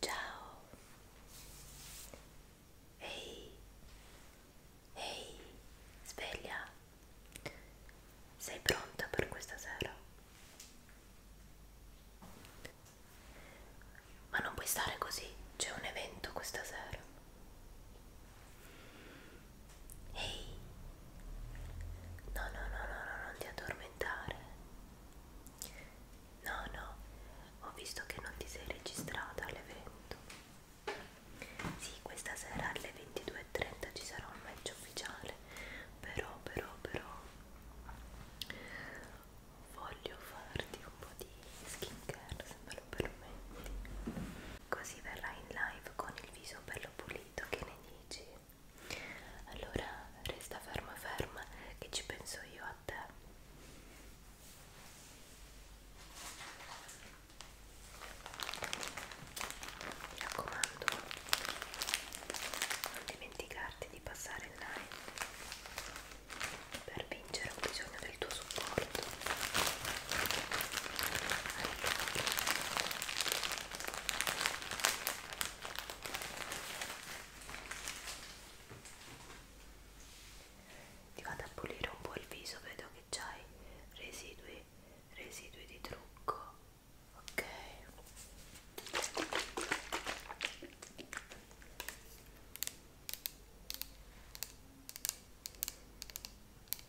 Ciao. Ehi. Ehi. Sveglia. Sei pronta per questa sera? Ma non puoi stare così, c'è un evento questa sera. Ehi. No, no, no, no, no, non ti addormentare. No, no, ho visto che non ti sei registrata all'evento. Sì, questa sera alle 22.30 ci sarà un match ufficiale, però, però, però voglio farti un po' di skincare se me lo permetti. Così verrai in live con il viso bello pulito, che ne dici? allora resta ferma ferma che ci penso io a te mi raccomando non dimenticarti di passare il live per vincere ho bisogno del tuo supporto allora, ti vado a pulire un po' il viso, vedo che c'hai residui, residui di trucco, ok? ti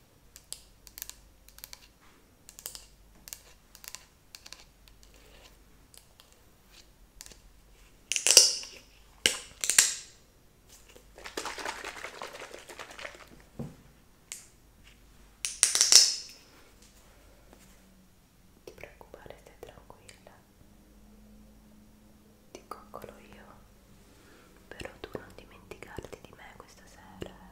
preoccupare, stai tranquilla ti coccolo io però tu non dimenticarti di me questa sera eh.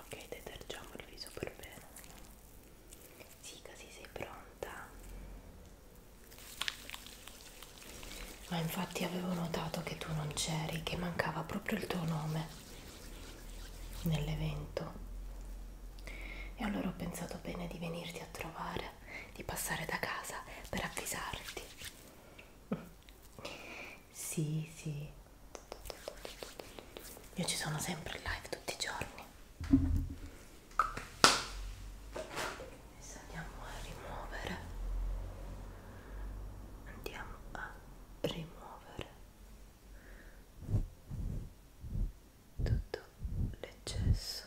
Ok, detergiamo il viso per bene. Sì, così sei pronta. Ma infatti avevo notato che tu non c'eri, che mancava proprio il tuo nome nell'evento. E allora ho pensato bene di venirti a trovare, di passare da casa per avvisarti. Sì, sì. Io ci sono sempre in live tutti i giorni. Adesso andiamo a rimuovere. Andiamo a rimuovere tutto l'eccesso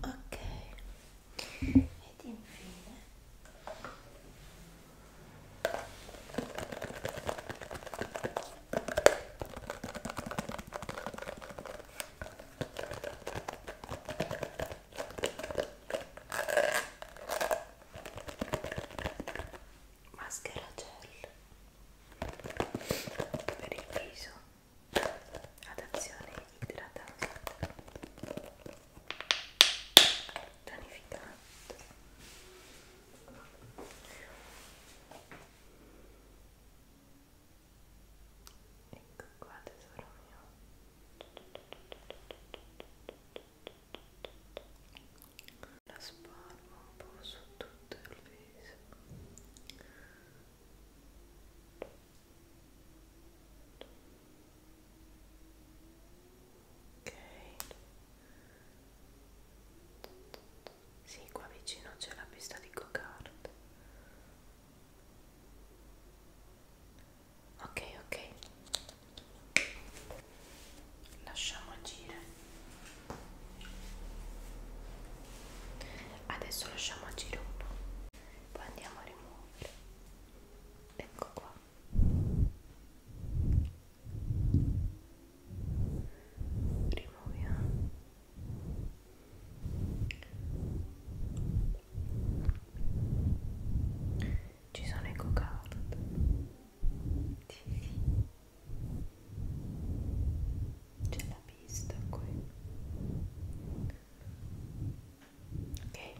ok ed infine maschera gel per il viso ad azione idratante tonificante ecco qua tesoro mio la spalmo un po' su tutto il viso ok sì qua vicino c'è la pista di go-kart ok ok lasciamo agire adesso lasciamo agire uno poi andiamo a rimuovere ecco qua rimuoviamo ci sono i cocard. Sì. C'è la pista qui. Ok.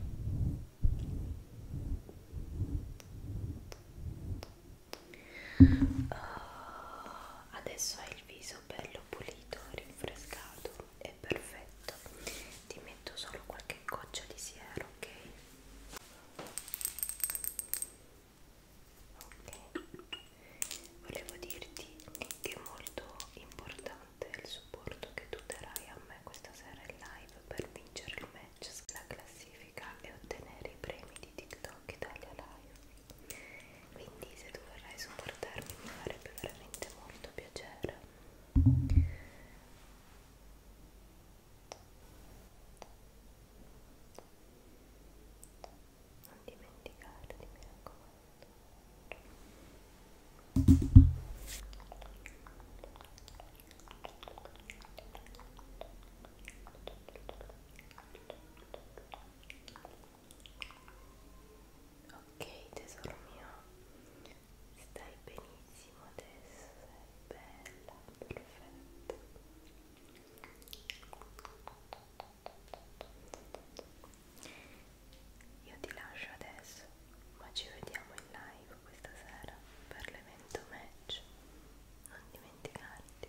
Uh, adesso hai il viso bello pulito, rinfrescato e perfetto. Ti metto solo qualche goccia di siero, ok? Ok, volevo dirti che è molto importante il supporto che tu darai a me questa sera in live per vincere il match, la classifica e ottenere i premi di TikTok Italia Live quindi se tu vorrai supportarmi mi farebbe veramente molto piacere non dimenticarti mi raccomando Grazie ok tesoro mio stai benissimo adesso sei bella perfetta io ti lascio adesso ma ci vediamo in live questa sera per l'evento match non dimenticarti